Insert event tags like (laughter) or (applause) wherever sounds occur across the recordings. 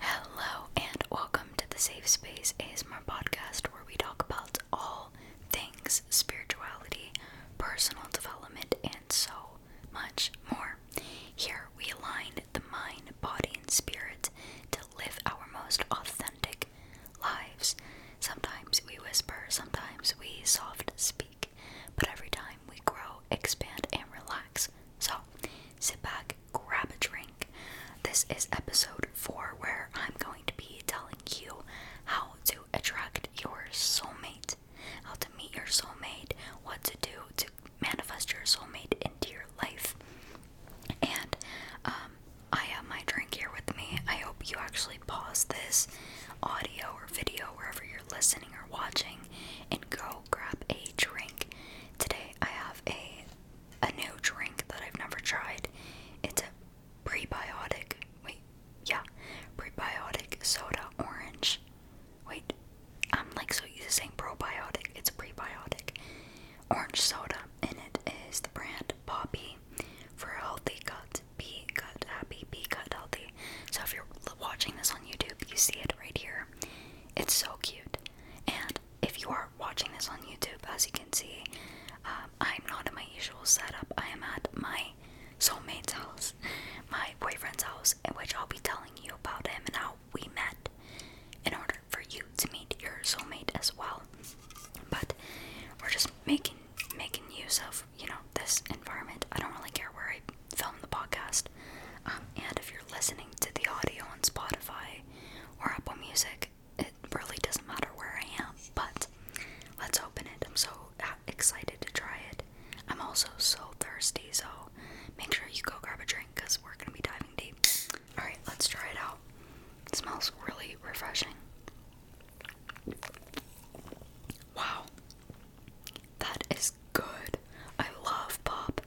Hello, and welcome to the Safe Space ASMR podcast where we talk about all things spirituality, personal development, and so much more. Here we align the mind, body, and spirit to live our most authentic lives. Sometimes we whisper, sometimes we soft speak, but every time we grow, expand, and relax. So sit back grab a drink. This is episode 4 where I'm going to be telling you how to attract your soulmate, how to meet your soulmate, what to do to manifest your soulmate into your life. And um, I have my drink here with me. I hope you actually pause this audio or video wherever you're listening or watching and go grab a drink. Today I have a a new drink that I've never tried. It's a prebiotic. Wait, yeah, prebiotic soda orange. Wait, I'm like so used to saying probiotic. It's a prebiotic orange soda, and it is the brand Poppy for a healthy gut. Be gut happy, be gut healthy. So if you're watching this on YouTube, you see it right here. It's so cute. And if you are watching this on YouTube, as you can see, um, I'm not in my usual setup. I am at my soulmate's house, my boyfriend's house, in which I'll be telling you about him and how we met in order for you to meet your soulmate as well. But we're just making making use of, you know, this environment. I don't really care where I film the podcast. Um, and if you're listening to the audio on Spotify or Apple Music. It really doesn't matter where I am, but let's open it. I'm so excited to try it. I'm also so thirsty, so make sure you go grab a drink because we're going to be diving deep. Alright, let's try it out. It smells really refreshing. Wow. That is good. I love pop.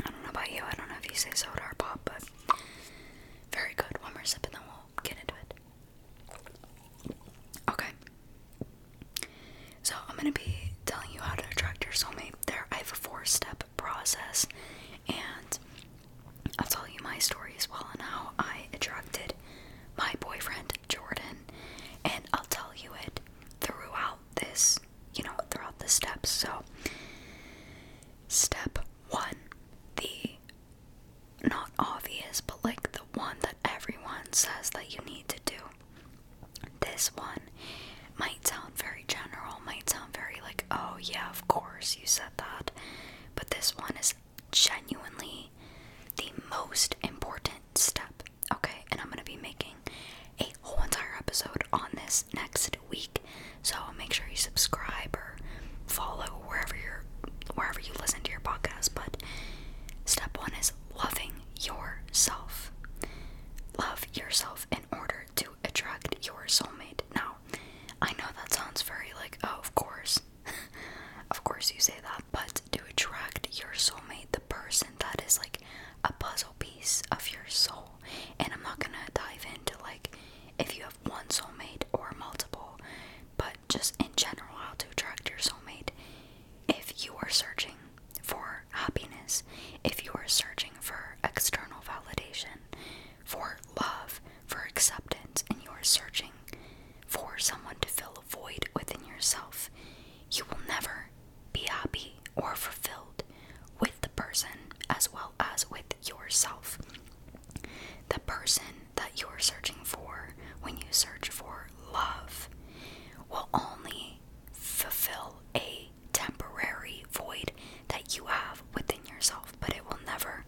I don't know about you, I don't know if you say soda or pop, but very good. One more sip and then we'll get into it. Okay. So I'm gonna be telling you how to attract your soulmate. There I have a four-step process and I'll tell you my story as well and how I attracted my boyfriend Jordan and I'll tell you it throughout this you know, throughout the steps. So, step one, the not obvious, but like the one that everyone says that you need to do. This one might sound very general, might sound very like, oh, yeah, of course you said that. But this one is genuinely the most important step, okay? And I'm gonna be making a whole entire episode on this next week. So make sure you subscribe or follow wherever you're wherever you listen to your podcast. But step one is loving yourself. Love yourself in order to attract your soulmate. Now, I know that sounds very like, oh, of course. (laughs) of course you say that, but to attract your soulmate, the person that is like a puzzle piece of your soul, and I'm not gonna dive into like if you have one soulmate or multiple, but just in general, how to attract your soulmate. If you are searching for happiness, if you are searching for external validation, for love, for acceptance, and you are searching for someone to fill a void within yourself, you will never be happy or fulfilled with the person as well as with yourself. The person that you're searching for when you search for love will only fulfill a temporary void that you have within yourself, but it will never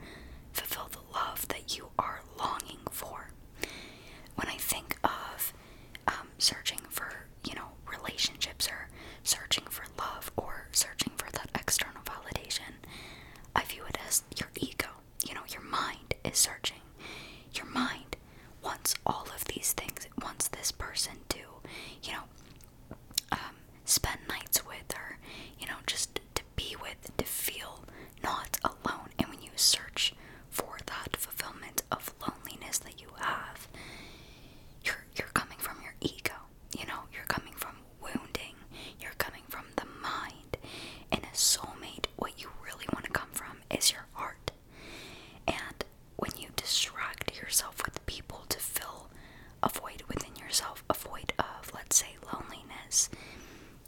fulfill the love that you are longing for. When I think of um, searching for you know, relationships or searching for love or searching for that external validation, I view it as your ego. You know, your mind is searching. Your mind wants all of these things. wants this person to, you know, um, spend nights with or, you know, just to be with, to feel not alone. And when you search for that fulfillment of loneliness that you have, you're you're coming from your ego. You know, you're coming from wounding. You're coming from the mind. And a soulmate, what you really want to come from is your heart. And when you distract yourself with people to fill a void within yourself, a void of, let's say, loneliness,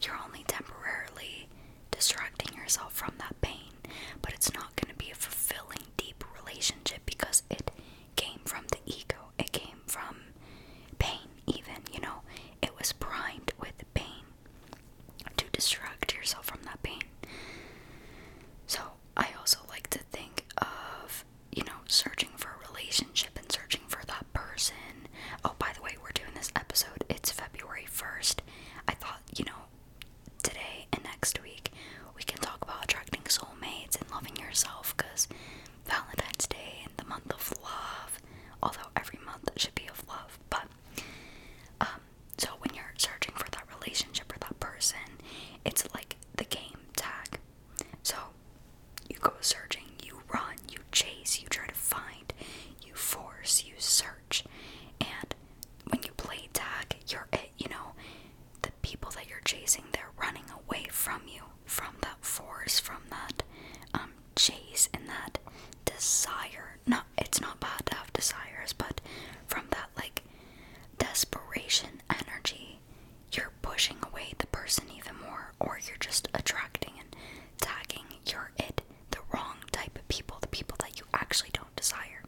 you're only temporarily distracting yourself from that pain, but it's not going to be a fulfilling deep relationship because it came from the ego. It came from pain, even, you know, it was primed with pain to distract yourself from that pain. So, I also like to think of, you know, searching for a relationship and searching for that person. Oh, by the way, we're doing this episode, it's February 1st. I thought, you know, today and next week we can talk about attracting soulmates and loving yourself because Valentine's Day and the month of love, although every month should be of love, but um, so when you're searching for that relationship or that person, it's like the game tag. So you go searching, you run, you chase, you try to find, you force, you search, and when you play tag, you're it, you know the people that you're chasing, they're running away from you, from that force, from that um, chase and that desire. Not, it's not bad to have desires, but from that like desperation energy, you're pushing away the person even more, or you're just attracting and tagging your it the wrong type of people, the people that you actually don't desire.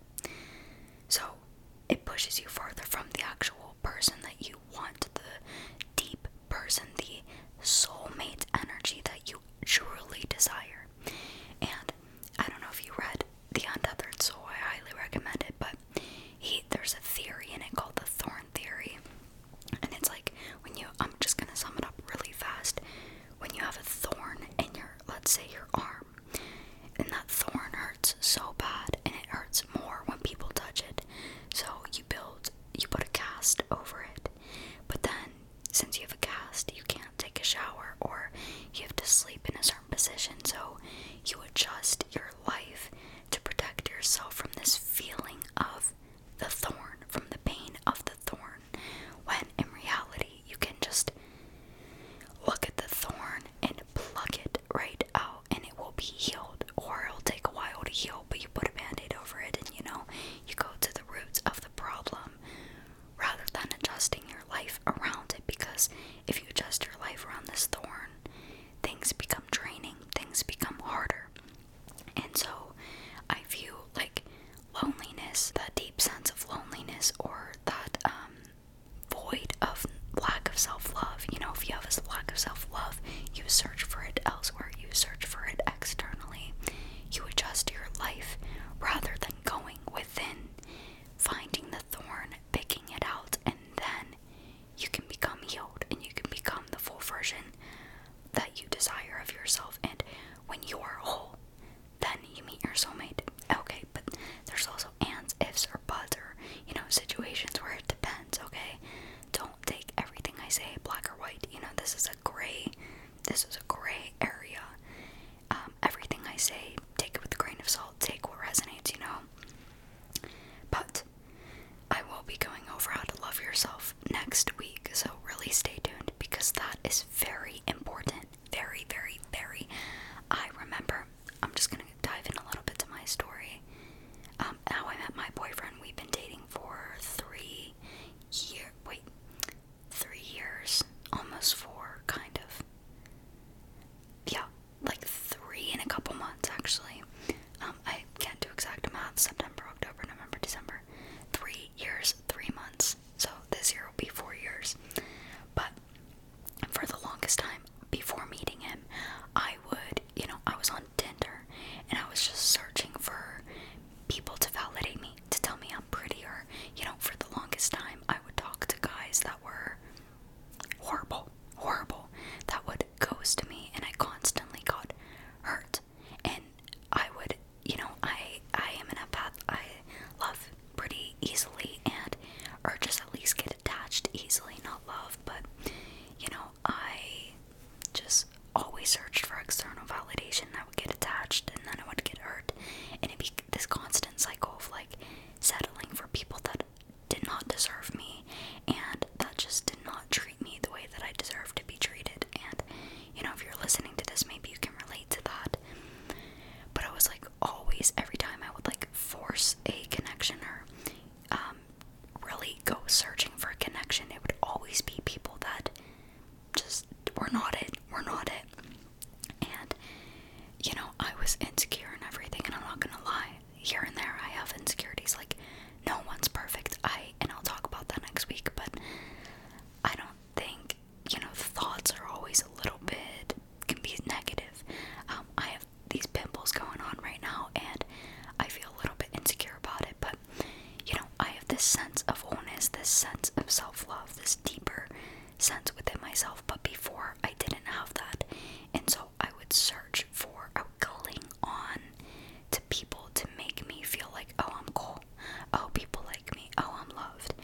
So it pushes you further from the actual person that you want, the deep person, the soulmate energy that you truly desire. And I don't know if you read The Untethered Soul, I highly recommend it, but he there's a theory in it called the thorn theory. And it's like when you I'm just gonna sum it up really fast. When you have a thorn in your let's say your arm and that thorn hurts so bad, and it hurts more when people touch it. So you build, you put a cast over it. But then, since you have a cast, you can't take a shower or you have to sleep in a certain position. So you adjust your life to protect yourself from this feeling of the thorn, from the pain of the thorn, when in reality, you can just look at the thorn and pluck it right out, and it will be healed. Or it'll take a while to heal, but you put a band aid over it, and you know, you go to the roots of the problem rather than adjusting your life around it. Because if you adjust your life around this thorn, things become draining, things become harder. And so I view like loneliness, that deep sense of loneliness, or that um, void of lack of self love. You know, if you have a lack of self love, you search for it elsewhere, you search for it externally, you adjust your life rather than going within, finding the thorn, picking it out, and then you can become healed and you can become the full version that you desire of yourself. And when you are whole, then you meet your soulmate. Okay, but there's also ands, ifs, or buts, or you know, situations where it depends, okay? Don't take everything I say black or white. You know, this is a gray this is a gray area. Um, everything I say, take it with a grain of salt, take what resonates, you know. But I will be going over how to love yourself next week, so really stay tuned because that is very important. Very, very, very. I remember I'm just gonna dive in a little bit to my story. Um, how I met my boyfriend. We've been dating for three year. Wait, three years, almost four, kind of. Yeah, like three in a couple months actually. Um, I can't do exact math. September, October, November, December. Three years, three months. So this year will be four years. But for the longest time before meeting him, I would, you know, I was on Tinder and I was just searching for people to validate me, to tell me I'm prettier. You know, for the longest time, I would talk to guys that were horrible, horrible, that would ghost me, and I constantly got hurt. And I would, you know, I I am an empath. I love pretty easily and or just at least get attached easily, not love, but you know, I just always searched for external validation. I would get attached and then I would get hurt. And it'd be this constant cycle of like settling for people that did not deserve me and that just did not treat me the way that I deserved to be treated. And you know, if you're listening to this, maybe you can relate to that. But I was like always, every time I would like force a connection or um, really go searching for a connection, it would always be people that just were not it, we're not it. And you know, I was insecure and everything, and I'm not gonna lie, here and there I have insecurities. Like, no one's perfect. I and I'll talk about that next week, but I don't think you know, thoughts are always a little bit, can be negative. Um, I have these pimples going on right now and I feel a little bit insecure about it, but you know, I have this sense of wholeness, this sense of self love, this deeper sense within myself, but before I didn't have that. And so I would search for, a would cling on to people to make me feel like, oh, I'm cool. Oh, people like me. Oh, I'm loved.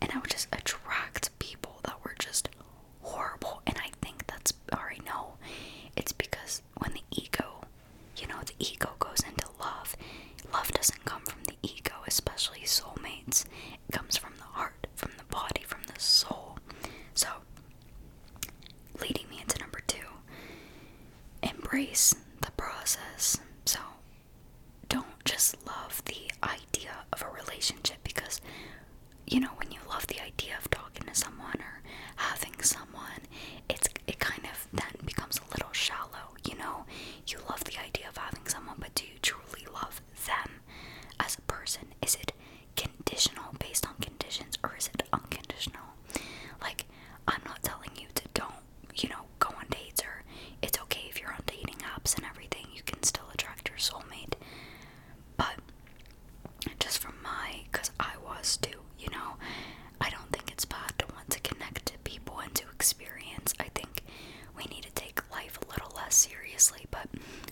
And I would just attract people horrible, that were just horrible. And I think that's, already no. it's because when the ego, you know, the ego goes into love, love doesn't come from the ego, especially soulmates. It comes from the heart, from the body, from the soul. So, leading me into number two embrace the process. So, don't just love the idea of a relationship because you know when you love the idea of talking to someone or having someone it's it kind of then becomes a little shallow you know you love the idea of having someone but do you truly love them as a person is it conditional based on conditions or is it unconditional like i'm not telling you to don't you know go on dates or it's okay if you're on dating apps and everything you can still attract character soulmate, but just from my, because I was too, you know, I don't think it's bad to want to connect to people and to experience. I think we need to take life a little less seriously, but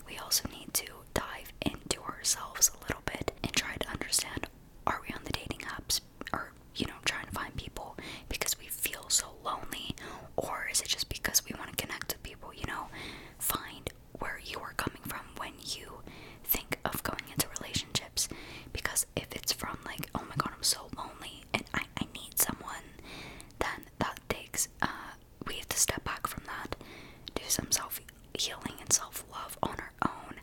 we also need to dive into ourselves a little bit and try to understand are we on the dating apps or, you know, trying to find people because we feel so lonely, or is it just because we want to connect people, you know, find where you are coming from when you think of going into relationships. Because if it's from like, oh my god, I'm so lonely and I, I need someone, then that takes, uh, we have to step back from that, do some self healing and self love on our own.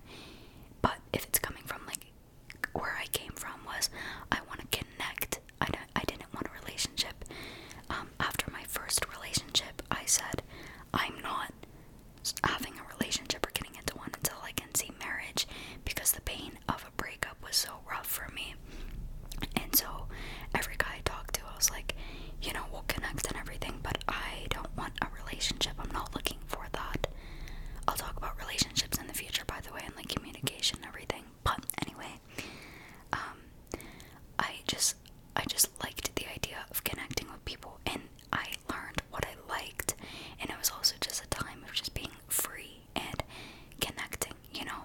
But if it's coming from like where I came from, was I want to connect I didn't want a relationship. Um, after my first relationship, I said, I'm not having a relationship or getting into one until I can see marriage because the pain of a breakup was so rough for me. And so every guy I talked to, I was like, you know, we'll connect and everything, but I don't want a relationship. I'm not looking for that. I'll talk about relationships in the future, by the way, and like communication and everything. But anyway, um, I just I just liked the idea of connecting with people, and I learned what I liked, and it was also just a time of just being free and connecting, you know.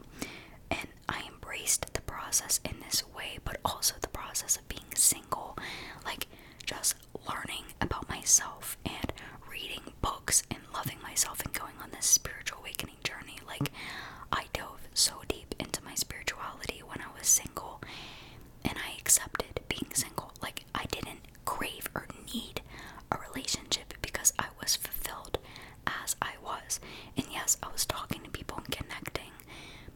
And I embraced the process in this way, but also the process of being single, like just learning about myself and reading books and loving myself and going on this spiritual awakening journey. Like, I dove so deep into my spirituality when I was single, and I accepted being single. Like, I didn't crave or need a relationship because I was fulfilled as I was. And yes, I was talking to people and connecting,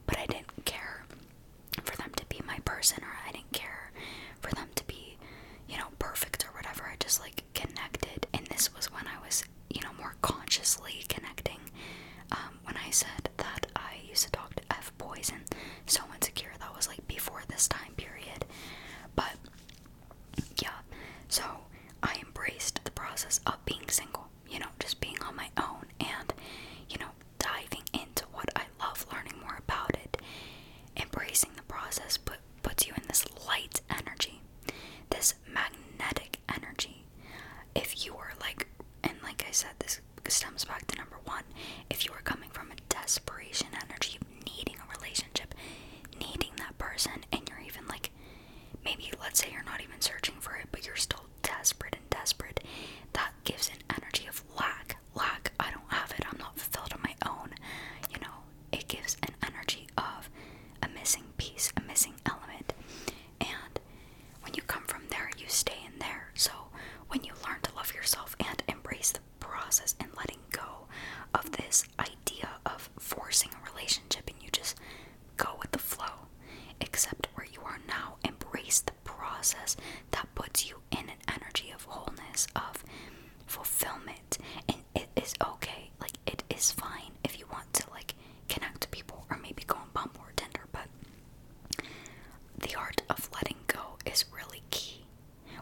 but I didn't care for them to be my person or I didn't care for them to be, you know, perfect or whatever. I just like connected, and this was when I was, you know, more consciously connecting. Um, when I said that I used to talk to F boys and so insecure, that was like before this time period. But yeah, so I embraced the process of being single, you know, just being on my own and, you know, diving into what I love, learning more about it. Embracing the process put, puts you in this light energy, this magnetic energy. If you are like, and like I said, this stems back to number one. If you are coming from a desperation energy, of needing a relationship, needing that person, and you're even like, maybe let's say you're not even searching for it, but you're still desperate and desperate, that gives an energy of lack. Lack, I don't have it, I'm not fulfilled on my own. You know, it gives an energy of a missing piece, a missing element. And when you come from there, you stay in there. So when you learn to love yourself and embrace the process and letting go of this idea of forcing a relationship and you just go with the flow, accept where you are now, embrace the process that puts you in an energy of wholeness, of fulfillment, and it is okay. Like it is fine if you want to like connect to people or maybe go on Bumble or Tinder, but the art of letting go is really key.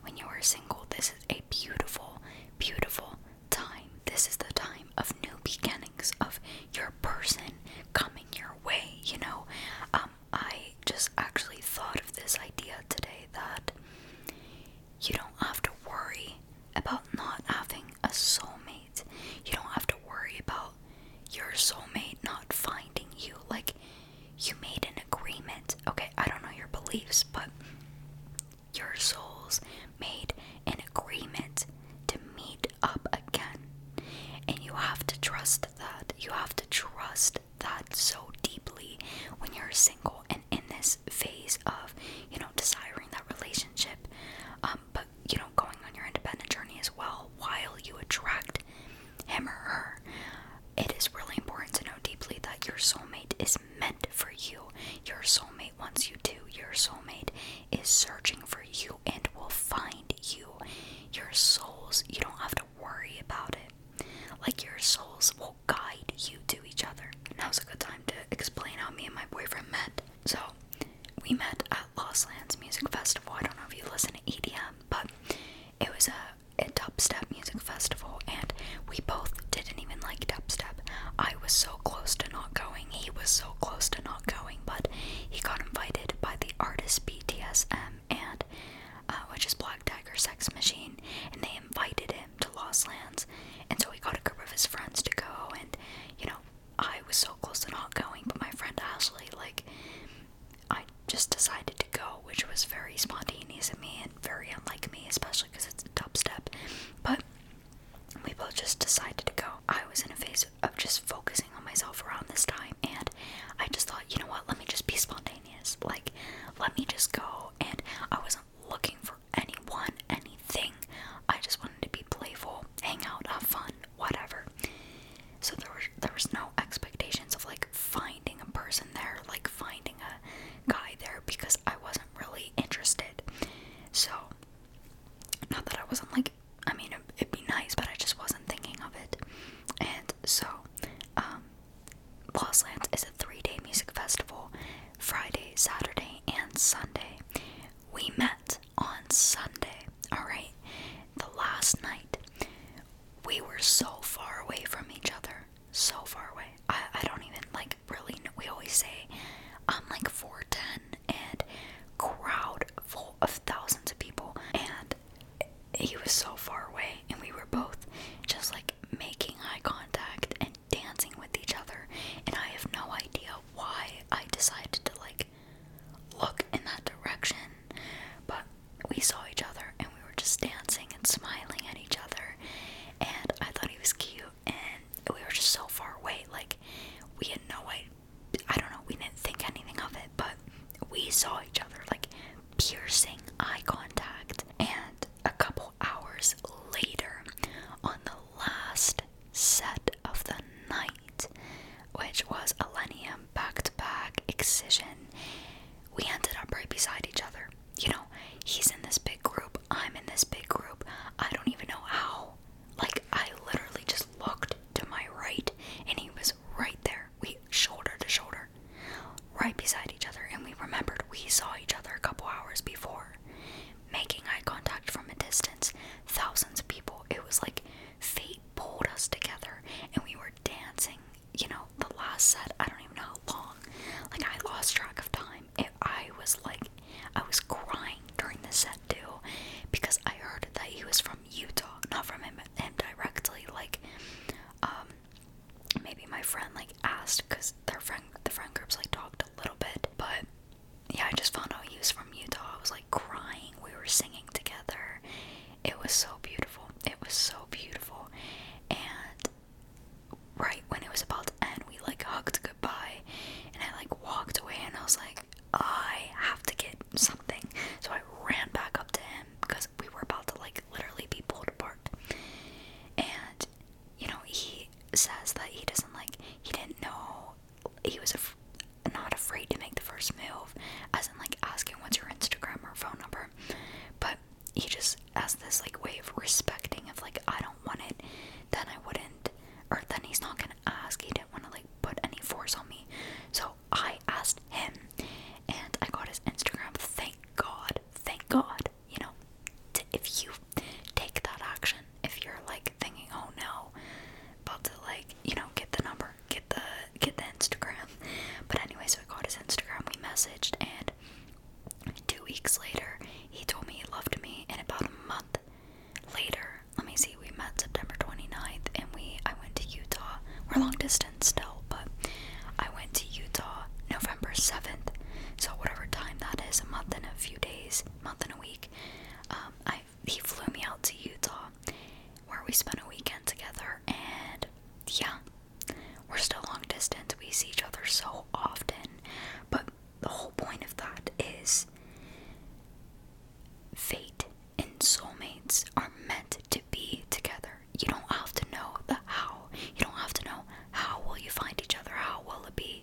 When you are single, this is a beautiful, beautiful time. This is the time of new beginnings, of your person coming your way, you know. Um, I just actually thought of this idea today that you don't have to worry about not having a soulmate. You don't have to worry about your soulmate not finding you. Like, you made an agreement. Okay, I don't know your beliefs, but your souls made an agreement to meet up again. And you have to trust that. You have to trust that so deeply when you're single and in this phase of, you know, desiring that relationship, um, but you know, going on your independent journey as well while you attract him or her. It is really important to know deeply that your soulmate is meant for you. Your soulmate wants you too. Your soulmate is searching for you and will find you. Your souls, you don't have to worry about it. Like your souls will guide you to each other. Now's a good time to explain how me and my boyfriend met. So, we met at Lost Lands Music Festival. I don't know if you listen to EDM, but it was a, a dubstep music festival, and we both didn't even like dubstep. I was so close to not going, he was so close to not going, but he got invited by the artist BTSM, and uh, which is Black Tiger Sex Machine, and they invited him to Lost Lands, and so he got a group of his friends to go. And you know, I was so close to not going, but my friend Ashley, like, I just decided to go, which was very spontaneous of me and very unlike me, especially because it's a dubstep. But we both just decided to go. I was in a phase of just focusing on myself around this time, and I just thought, you know what, let me just be spontaneous. Like, let me just go. And I wasn't looking for anyone, anything. I just wanted to be playful, hang out, have fun, whatever. So there was there was no expectations of like finding a person there, like finding a guy there because I wasn't really interested. So not that I wasn't like I mean it, would be nice, but I just wasn't thinking of it. And so um Los is a three day music festival Friday, Saturday, and Sunday. We met on Sunday, alright? The last night. We were so far away from each other. So far away. I, I don't even like really know. We always say I'm like 410 and crowd full of thousands of people. And he was so far away, and we were both just like making eye contact and dancing with each other, and I have no idea why I decided to like look in that direction, but we saw each other and we were just dancing and smiling at each other, and I thought he was cute, and we were just so far away, like we had no way. I don't know, we didn't think anything of it, but we saw each other like piercing eye contact. And a couple hours later, on the last set of the night, which was a lenium back to back Excision, we ended up right beside each other. You know, he's in this big group, I'm in this big group. I don't even know how. Like, I literally just looked to my right and he was right there. We shoulder to shoulder, right beside each other. And we remembered we saw each other a couple hours before making eye contact from a distance. Thousands of people. It was like fate pulled us together and we were dancing. You know, the last set, I don't even know how long. Like, I lost track of time. It, I was like, I was crying during the set too because I heard that he was from Utah, not from him, him directly. Like, um, maybe my friend like asked because their friend the friend groups like talked a little bit, but yeah, I just found out he was from Utah. I was like crying. We were singing together. It was so beautiful. It was so beautiful. And right when it was about to end, we like hugged goodbye and I like walked away and I was like, I have to get something. So I ran back up to him because we were about to like literally be pulled apart. And you know, he says that he doesn't like, he didn't know, he was not afraid to make the first move, as in like asking what's your Instagram or phone number. But he just has this like way of respecting, of like, I don't want it, then I wouldn't, or then he's not gonna ask. He didn't want to like put any force on me. So I asked him and I got his Instagram. Thank God. Thank God you know, if you take that action, if you're like thinking, oh no, about to like, you know, get the number, get the get the Instagram. But anyway, so I got his Instagram, we messaged and two weeks later he told me he loved me and about a month later, let me see, we met September 29th and we I went to Utah. We're long distance still, but I went to Utah November 7th so whatever time that is, a month and a few days, month and a week, um, I he flew me out to Utah, where we spent a weekend together, and yeah, we're still long distance. We see each other so often, but the whole point of that is fate and soulmates are meant to be together. You don't have to know the how. You don't have to know how will you find each other. How will it be?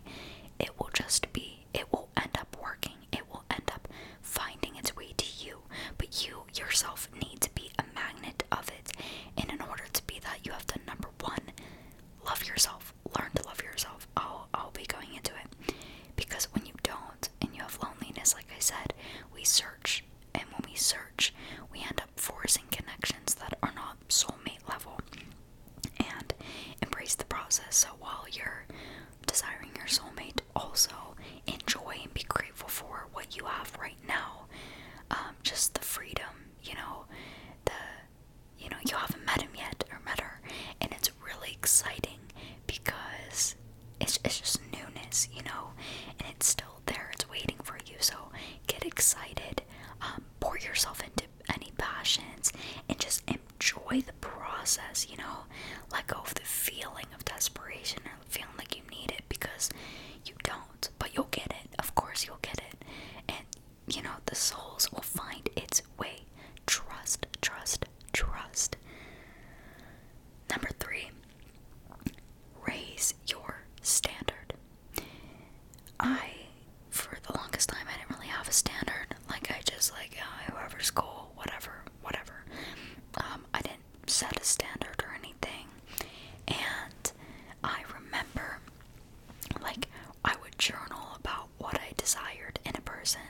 It will just be. It will end up working. It will end up finding its way to you. But you yourself need to be a magnet of it. And in order to be that, you have to number one, love yourself. Learn to love yourself. I'll, I'll be going into it. Because when you don't and you have loneliness, like I said, we search. And when we search, we end up forcing connections that are not soulmate level and embrace the process. So while you're desiring your soulmate, also enjoy and be grateful for what you have right now. Um, just the freedom, you know, the you know, you haven't met him yet or met her, and it's really exciting because it's, it's just newness, you know, and it's still there, it's waiting for you. So get excited, um, pour yourself into any passions and just enjoy the process, you know? Let go of the feeling of desperation or feeling like you need it because you don't. But you'll get it. Of course, you'll get it. And, you know, the souls will find its way. Trust, trust, trust. Number three, raise your standard. I, for the longest time, I didn't really have a standard. Like, I just, like, uh, whoever's cool, whatever, whatever. Um, I didn't set a standard or anything. And I remember, like, I would journal about what I desired in a person,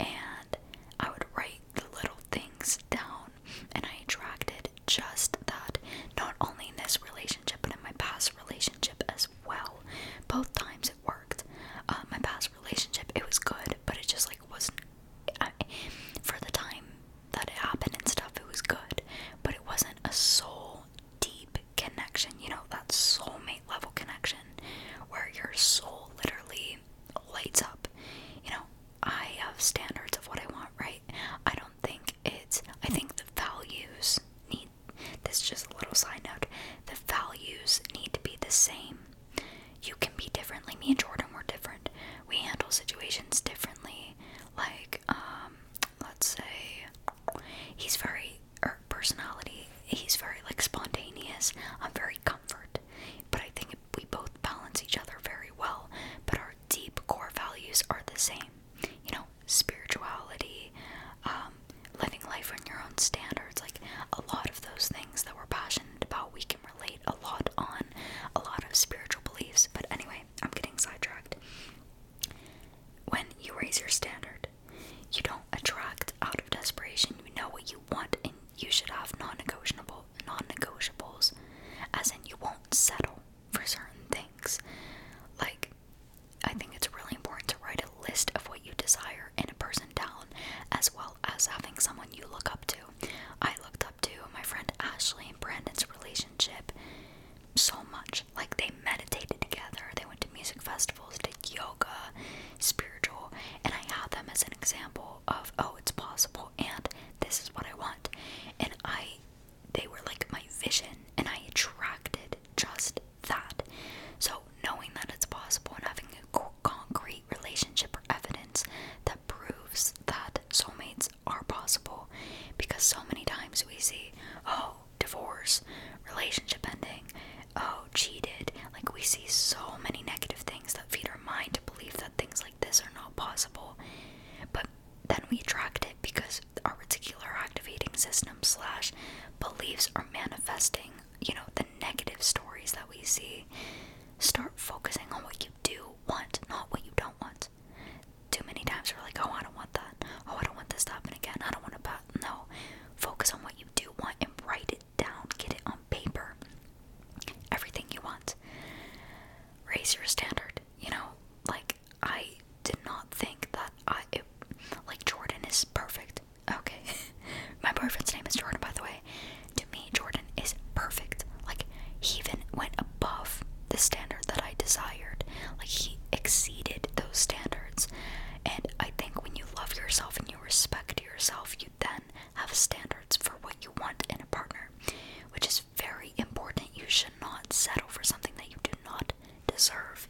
and I would write the little things down. And I tracked it. just that, not only in this relationship, but in my past relationship as well. Both times it worked. Uh, my past relationship, it was good, but it just like wasn't. for the time that it happened and stuff, it was good, but it wasn't a soul deep connection. You know that soulmate level connection where your soul literally lights up. You know, I have standards of what I want, right? I don't think it's. I think the values need this is just a little side note. The values need to be the same. You can be different. me and Jordan were different. We handle situations differently. Like, um, let's say he's very er, personality. He's very like spontaneous. I'm very comfort. But I think we both balance each other very well. But our deep core values are the same you know, spirituality, um, living life on your own standards. Like a lot of those things that we're passionate about, we can relate a lot on, a lot of spiritual beliefs. But anyway, I'm getting sidetracked. When you raise your standard, you don't attract out of desperation. You know what you want, and you should have non-negotiable non-negotiables, as in you won't settle for certain things. Like I think it's really important to write a list of what you desire in a person down, as well as having someone you look up to. I looked up to my friend Ashley and Brandon's relationship so much. Like, they meditated together, they went to music festivals, did yoga, spiritual, and I had them as an example of, oh, it's possible, and this is what I want. And I they were like my vision and I attracted just that. So knowing that it's possible and having a concrete relationship or evidence that proves that soulmates are possible because so many times we see, oh, divorce, relationship ending, oh, cheated. Like we see so many negative things that feed our mind to believe that things like this are not possible. But then we attract it because our reticular activating system slash beliefs are manifesting, you know, the negative stories that we see. Start focusing on what you do want, not what you don't want. Too many times we're like, oh, I don't want that. Oh, I don't want this to happen again. I don't want to bat. No. Focus on what you do want and write it down. Get it on paper. Everything you want. Raise your standard. You know, like I did not think that I it, like Jordan is perfect. Okay. (laughs) My boyfriend's name is Jordan by the way. To me Jordan is perfect. Like he even went above the standard that I desired. Like he exceeded those standards. And I think when you love yourself and you respect yourself, you then have standards for what you want in a partner, which is very important. You should not settle for something that you do not deserve.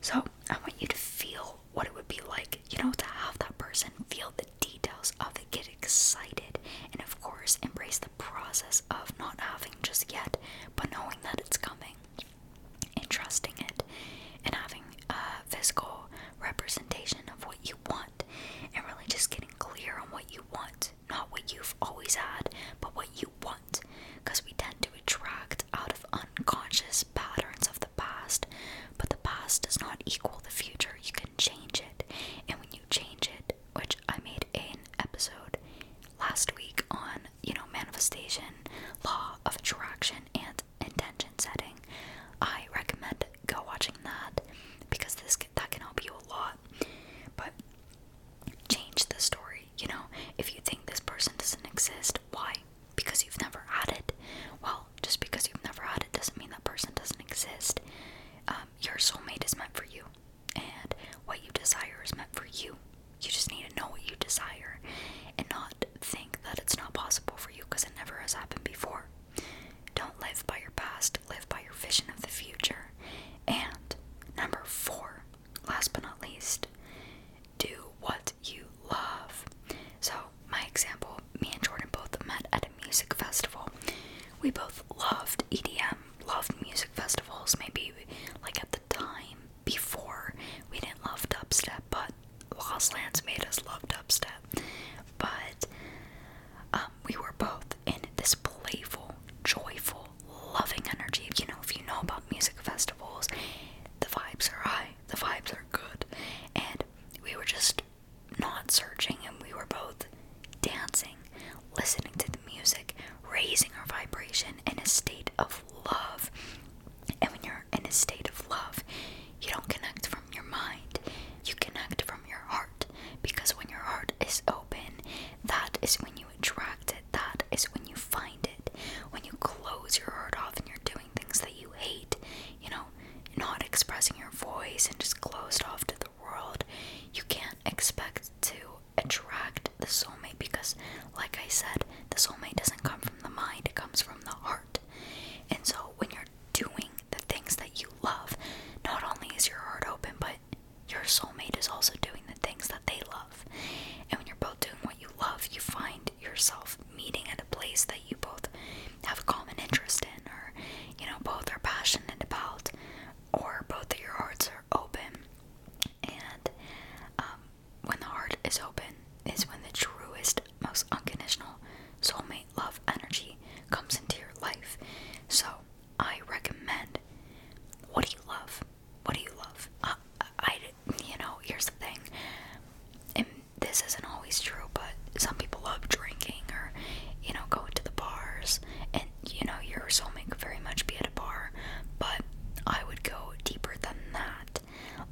So I want you to feel what it would be like, you know, to have that person feel the details of it, get excited, and of course, embrace the process of not having just yet, but knowing that it's coming and trusting it and having a physical representation of what you want and really just getting clear on what you want not what you've always had, but what you want, because we tend to attract out of unconscious patterns of the past, but the past does not equal the future. You can change it, and when you change it, which I made an episode last week on, you know, manifestation, law of attraction, and intention setting, I recommend go watching that because this that can help you a lot. But change the story. You know, if you think this person doesn't exist, why? Because you've never had it. Well, just because you've never had it doesn't mean that person doesn't exist. Um, your soulmate is meant for you, and what you desire is meant for you. You just need to know what you desire and not think that it's not possible for you because it never has happened before. Don't live by your past, live by your vision of the future. And number four, last but not least, do what you love. So, my example me and Jordan both met at a music festival. We both loved EDM, loved music festivals, maybe like at the time before we didn't love dubstep, but Lost Lands made us love dubstep. But um, we were both in this playful, joyful, loving energy. You know, if you know about music festivals, the vibes are high, the vibes are good. And we were just not searching, and we were both dancing, listening to the music, raising our vibration in a state of love. And when you're in a state of love, you don't connect from your mind, you connect from your heart. Because when your heart is open, that is when you you that is when you find it. When you close your heart off and you're doing things that you hate, you know, not expressing your voice and just closed off to the world, you can't expect to attract the soulmate because, like I said, the soulmate doesn't come from the mind, it comes from the heart. And so, when you're doing the things that you love, not only is your heart open, but your soulmate is also doing the things that they love. And when you're both doing what you love, you find yourself meeting at a place that you both have a common interest in, or, you know, both are passionate about, or both of your hearts are open. And um, when the heart is open, is when the truest, most unconditional soulmate love energy comes into your life. So I recommend what do you love? what do you love? I, you know, here's the thing, and this isn't always true, but some people love drinking or, you know, going to the bars, and you know, yours will make very much be at a bar, but I would go deeper than that.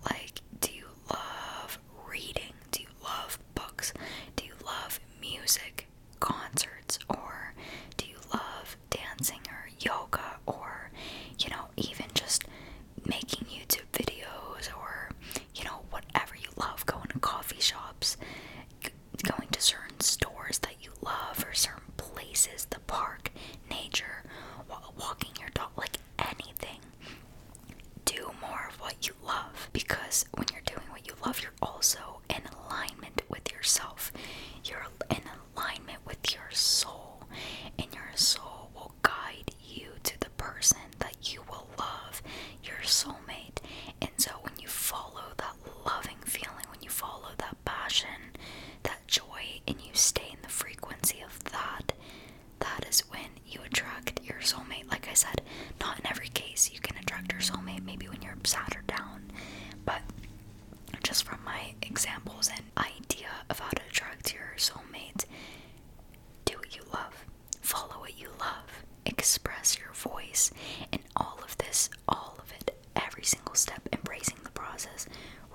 Like, do you love reading? Do you love books? Do you love music? concerts or do you love dancing or yoga or you know even just making youtube videos or you know whatever you love going to coffee shops going to certain stores that you love or certain places the park nature while walking your dog like anything do more of what you love because when you're doing what you love you're also in alignment with yourself you're in alignment with your soul, and your soul will guide you to the person that you will love, your soulmate. And so, when you follow that loving feeling, when you follow that passion, that joy, and you stay in the frequency of that, that is when you attract your soulmate. Like I said, not in every case you can attract your soulmate, maybe when you're sad or down, but just from my examples and idea of how to attract your soulmate. Do what you love, follow what you love, express your voice, and all of this, all of it, every single step, embracing the process,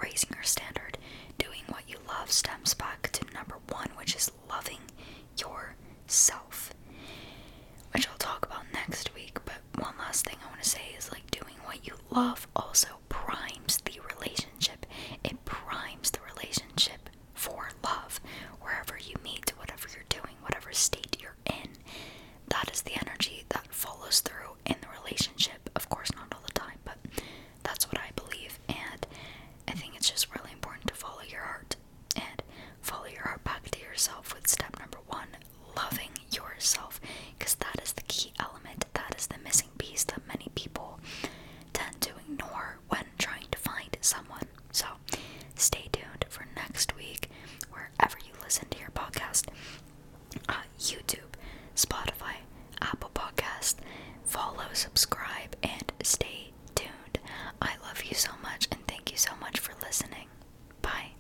raising your standard, doing what you love stems back to number one, which is loving yourself which I'll talk about next week. But one last thing I want to say is like doing what you love also primes the relationship. It primes the relationship for love. Wherever you meet, whatever you're doing, whatever state you're in, that is the energy that follows through in the relationship. Of course, not all the time, but that's what I believe. And I think it's just really important to follow your heart and follow your heart back to yourself with step number one loving yourself because that is the key element, that is the missing piece that many people tend to ignore when trying to find someone. So, stay tuned for next week, wherever you listen to your podcast uh, YouTube, Spotify, Apple Podcast. Follow, subscribe, and stay tuned. I love you so much, and thank you so much for listening. Bye.